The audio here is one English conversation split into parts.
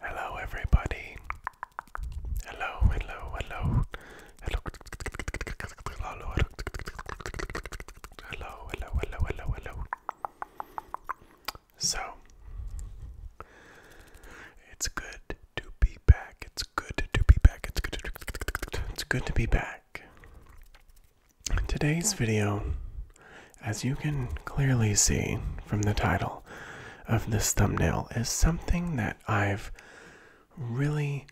Hello, everybody. Hello, hello, hello. Hello, hello, hello. Hello, hello, hello, hello, So, it's good to be back. It's good to be back. It's good it's good to be back today's video, as you can clearly see from the title of this thumbnail, is something that I've really,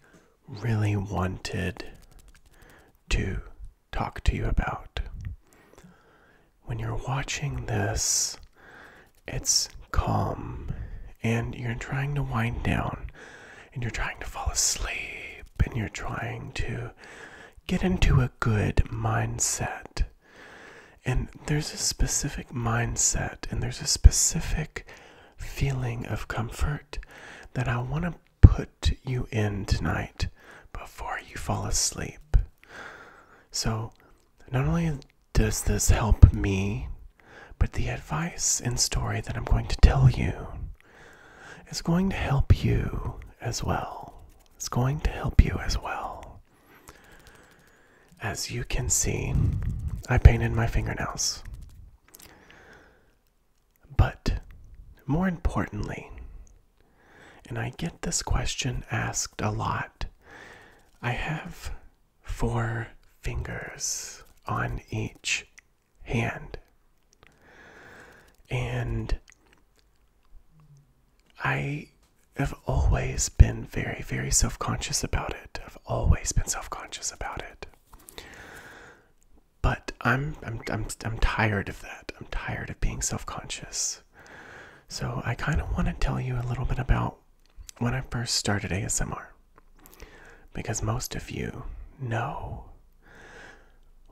really wanted to talk to you about. When you're watching this, it's calm and you're trying to wind down and you're trying to fall asleep and you're trying to get into a good mindset. And there's a specific mindset and there's a specific feeling of comfort that I want to put you in tonight before you fall asleep. So, not only does this help me, but the advice and story that I'm going to tell you it's going to help you as well. It's going to help you as well. As you can see, I painted my fingernails. But more importantly, and I get this question asked a lot, I have four fingers on each hand. And I have always been very, very self conscious about it. I've always been self conscious about it. But I'm, I'm, I'm, I'm tired of that. I'm tired of being self conscious. So I kind of want to tell you a little bit about when I first started ASMR because most of you know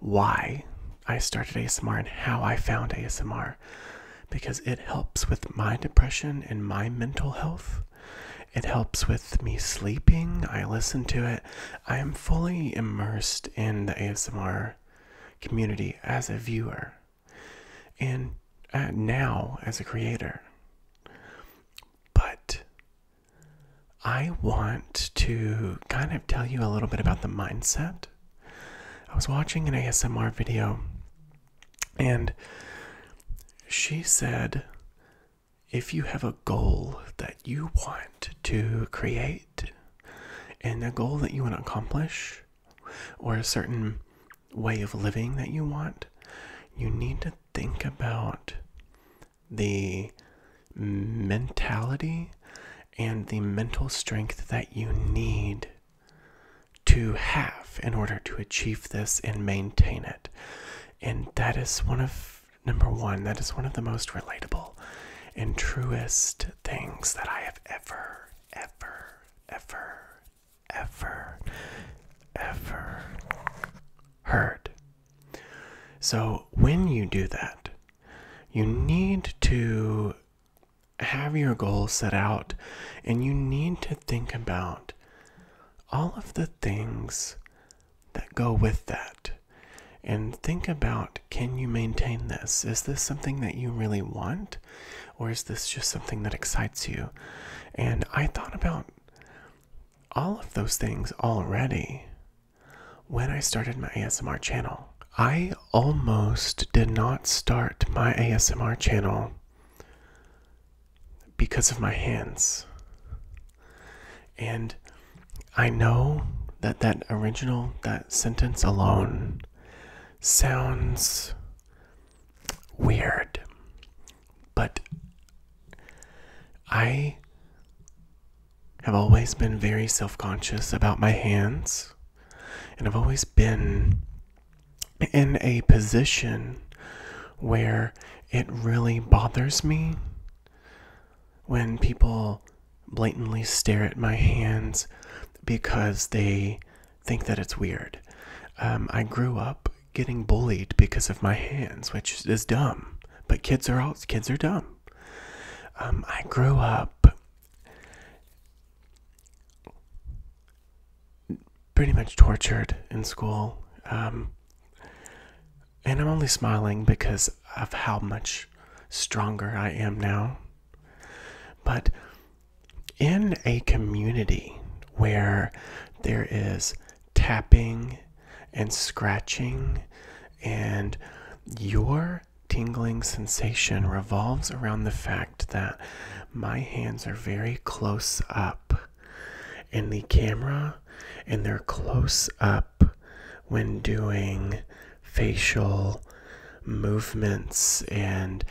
why I started ASMR and how I found ASMR because it helps with my depression and my mental health. It helps with me sleeping. I listen to it. I am fully immersed in the ASMR community as a viewer and uh, now as a creator. But I want to kind of tell you a little bit about the mindset. I was watching an ASMR video and she said if you have a goal that you want to create and a goal that you want to accomplish or a certain way of living that you want, you need to think about the mentality and the mental strength that you need to have in order to achieve this and maintain it. And that is one of, number one, that is one of the most relatable and truest things that I have ever, ever, ever, ever, ever hurt. So, when you do that, you need to have your goals set out and you need to think about all of the things that go with that. And think about can you maintain this? Is this something that you really want? Or is this just something that excites you? And I thought about all of those things already when I started my ASMR channel. I almost did not start my ASMR channel because of my hands. And I know that that original, that sentence alone sounds weird. But I have always been very self conscious about my hands, and I've always been in a position where it really bothers me when people blatantly stare at my hands because they think that it's weird. Um, I grew up getting bullied because of my hands, which is dumb. But kids are all kids are dumb. Um, I grew up pretty much tortured in school. Um, and I'm only smiling because of how much stronger I am now. But in a community where there is tapping and scratching, and your tingling sensation revolves around the fact that my hands are very close up in the camera and they're close up when doing facial movements and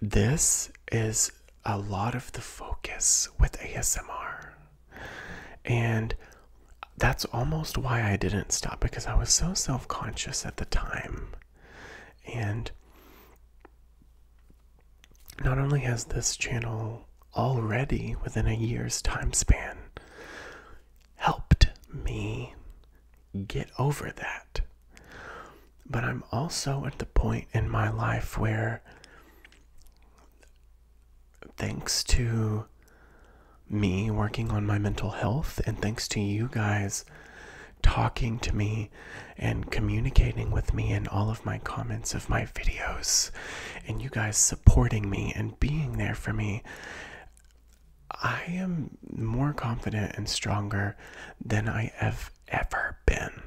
this is a lot of the focus with ASMR. And that's almost why I didn't stop because I was so self conscious at the time. And not only has this channel already within a year's time span helped me get over that, but I'm also at the point in my life where, thanks to me working on my mental health, and thanks to you guys talking to me and communicating with me in all of my comments of my videos, and you guys supporting me and being there for me. I am more confident and stronger than I have ever been.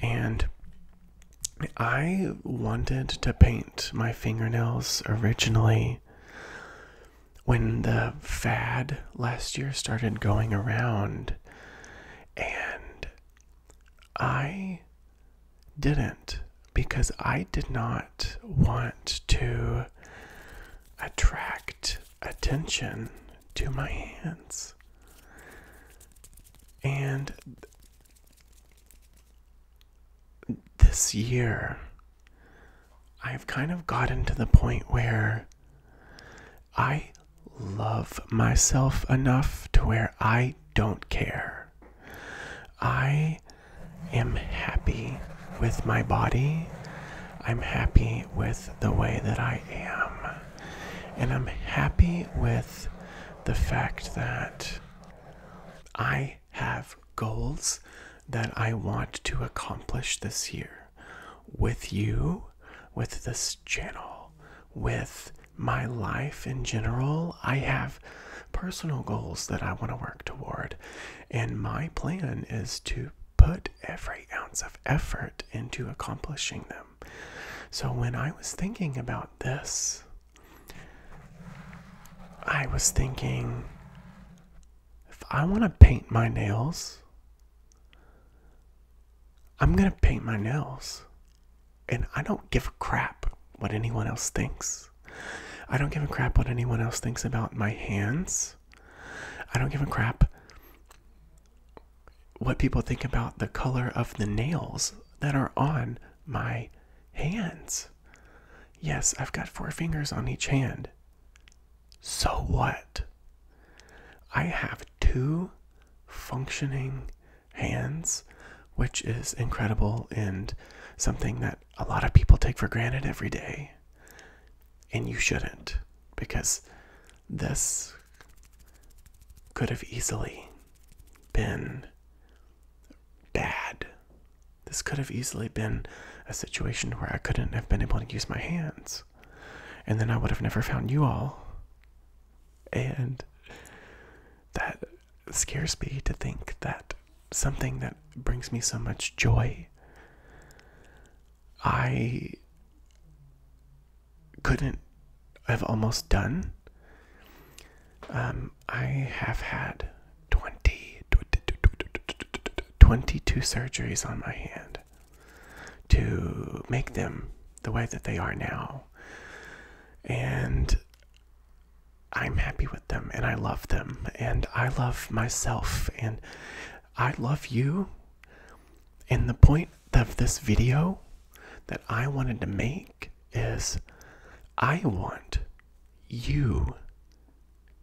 And I wanted to paint my fingernails originally when the fad last year started going around, and I didn't because I did not want to attract attention to my hands. And this year, I've kind of gotten to the point where I love myself enough to where I don't care. I am happy with my body. I'm happy with the way that I am. And I'm happy with the fact that I have goals that I want to accomplish this year with you, with this channel, with my life in general. I have personal goals that I want to work toward, and my plan is to put every ounce of effort into accomplishing them. So when I was thinking about this, I was thinking if I want to paint my nails, I'm going to paint my nails. And I don't give a crap what anyone else thinks. I don't give a crap what anyone else thinks about my hands. I don't give a crap what people think about the color of the nails that are on my hands. Yes, I've got four fingers on each hand. So what? I have two functioning hands, which is incredible and something that a lot of people take for granted every day. And you shouldn't, because this could have easily been bad. This could have easily been a situation where I couldn't have been able to use my hands. And then I would have never found you all. And that scares me to think that something that brings me so much joy. I couldn't i have almost done. Um, I have had 20, 22 surgeries on my hand to make them the way that they are now. And I'm happy with them and I love them and I love myself and I love you. And the point of this video that I wanted to make is I want you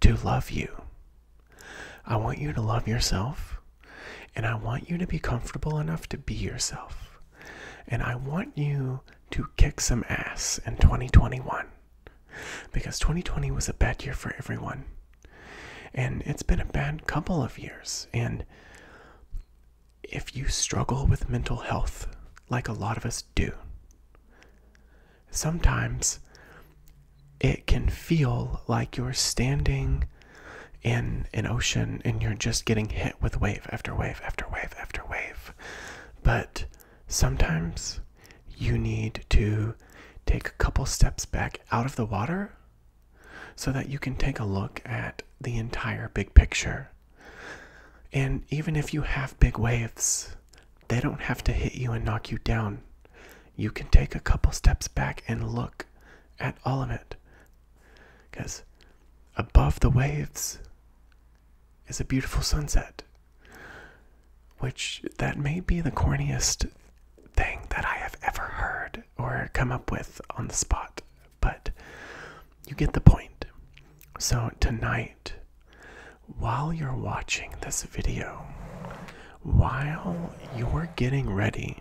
to love you. I want you to love yourself. And I want you to be comfortable enough to be yourself. And I want you to kick some ass in 2021 because 2020 was a bad year for everyone. And it's been a bad couple of years. And if you struggle with mental health, like a lot of us do, sometimes it can feel like you're standing in an ocean and you're just getting hit with wave after wave after wave after wave. But sometimes you need to take a couple steps back out of the water so that you can take a look at the entire big picture. And even if you have big waves, they don't have to hit you and knock you down. You can take a couple steps back and look at all of it. Because above the waves, is a beautiful sunset. Which, that may be the corniest thing that I have ever heard or come up with on the spot, but you get the point. So, tonight, while you're watching this video, while you're getting ready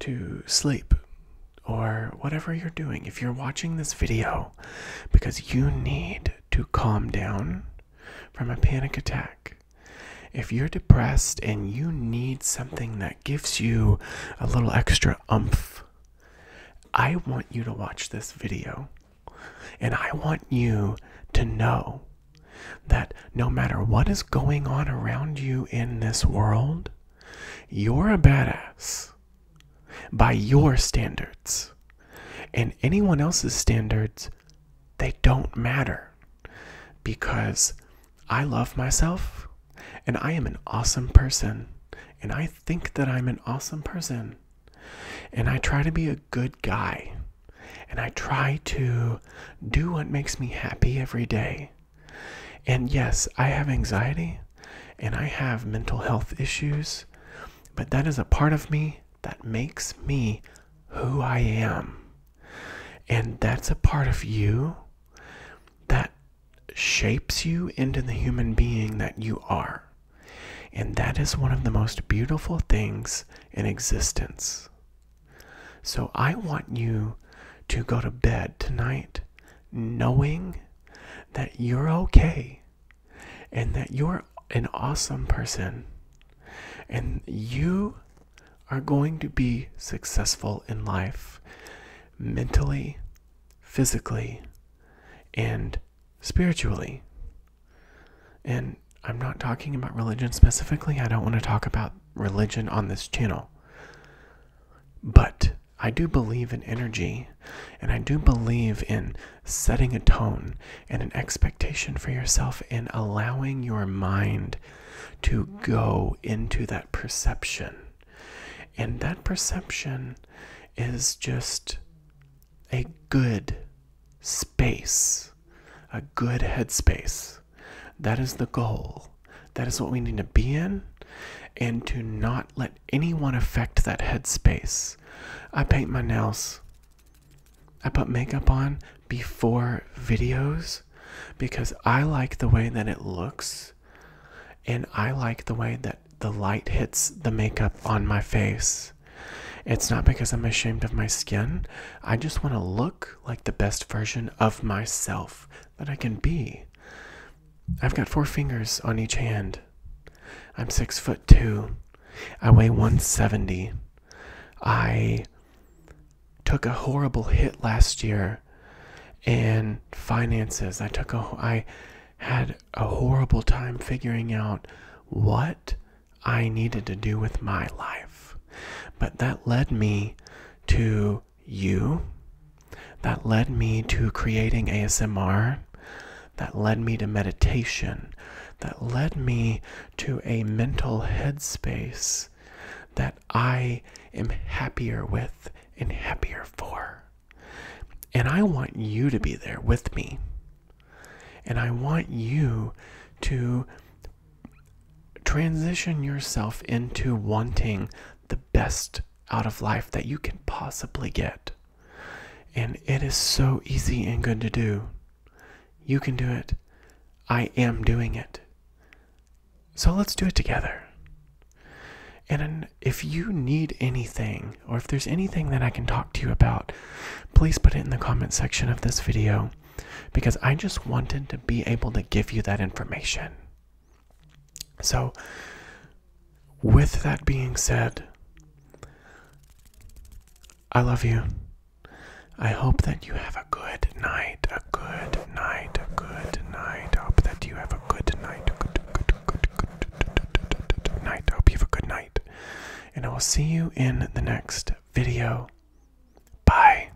to sleep or whatever you're doing, if you're watching this video because you need to calm down from a panic attack. If you're depressed and you need something that gives you a little extra umph, I want you to watch this video. And I want you to know that no matter what is going on around you in this world, you're a badass by your standards. And anyone else's standards, they don't matter because I love myself and I am an awesome person. And I think that I'm an awesome person. And I try to be a good guy. And I try to do what makes me happy every day. And yes, I have anxiety and I have mental health issues, but that is a part of me that makes me who I am. And that's a part of you that shapes you into the human being that you are. And that is one of the most beautiful things in existence. So I want you to go to bed tonight knowing that you're okay and that you're an awesome person and you are going to be successful in life mentally, physically, and spiritually. And I'm not talking about religion specifically. I don't want to talk about religion on this channel. But I do believe in energy and I do believe in setting a tone and an expectation for yourself In allowing your mind to go into that perception. And that perception is just a good space, a good headspace. That is the goal. That is what we need to be in and to not let anyone affect that headspace. I paint my nails. I put makeup on before videos because I like the way that it looks and I like the way that the light hits the makeup on my face. It's not because I'm ashamed of my skin. I just want to look like the best version of myself that I can be. I've got four fingers on each hand. I'm six foot two. I weigh 170. I took a horrible hit last year in finances. I took a I had a horrible time figuring out what I needed to do with my life. But that led me to you that led me to creating ASMR, that led me to meditation, that led me to a mental headspace that I am happier with and happier for. And I want you to be there with me. And I want you to transition yourself into wanting the best out of life that you can possibly get. And it is so easy and good to do. You can do it. I am doing it. So let's do it together. And if you need anything, or if there's anything that I can talk to you about, please put it in the comment section of this video because I just wanted to be able to give you that information. So, with that being said, I love you. I hope that you have a good night, a good night, a good night. I hope that you have a good night, a good, good, good, good, good night. hope you have a good night. And I will see you in the next video. Bye.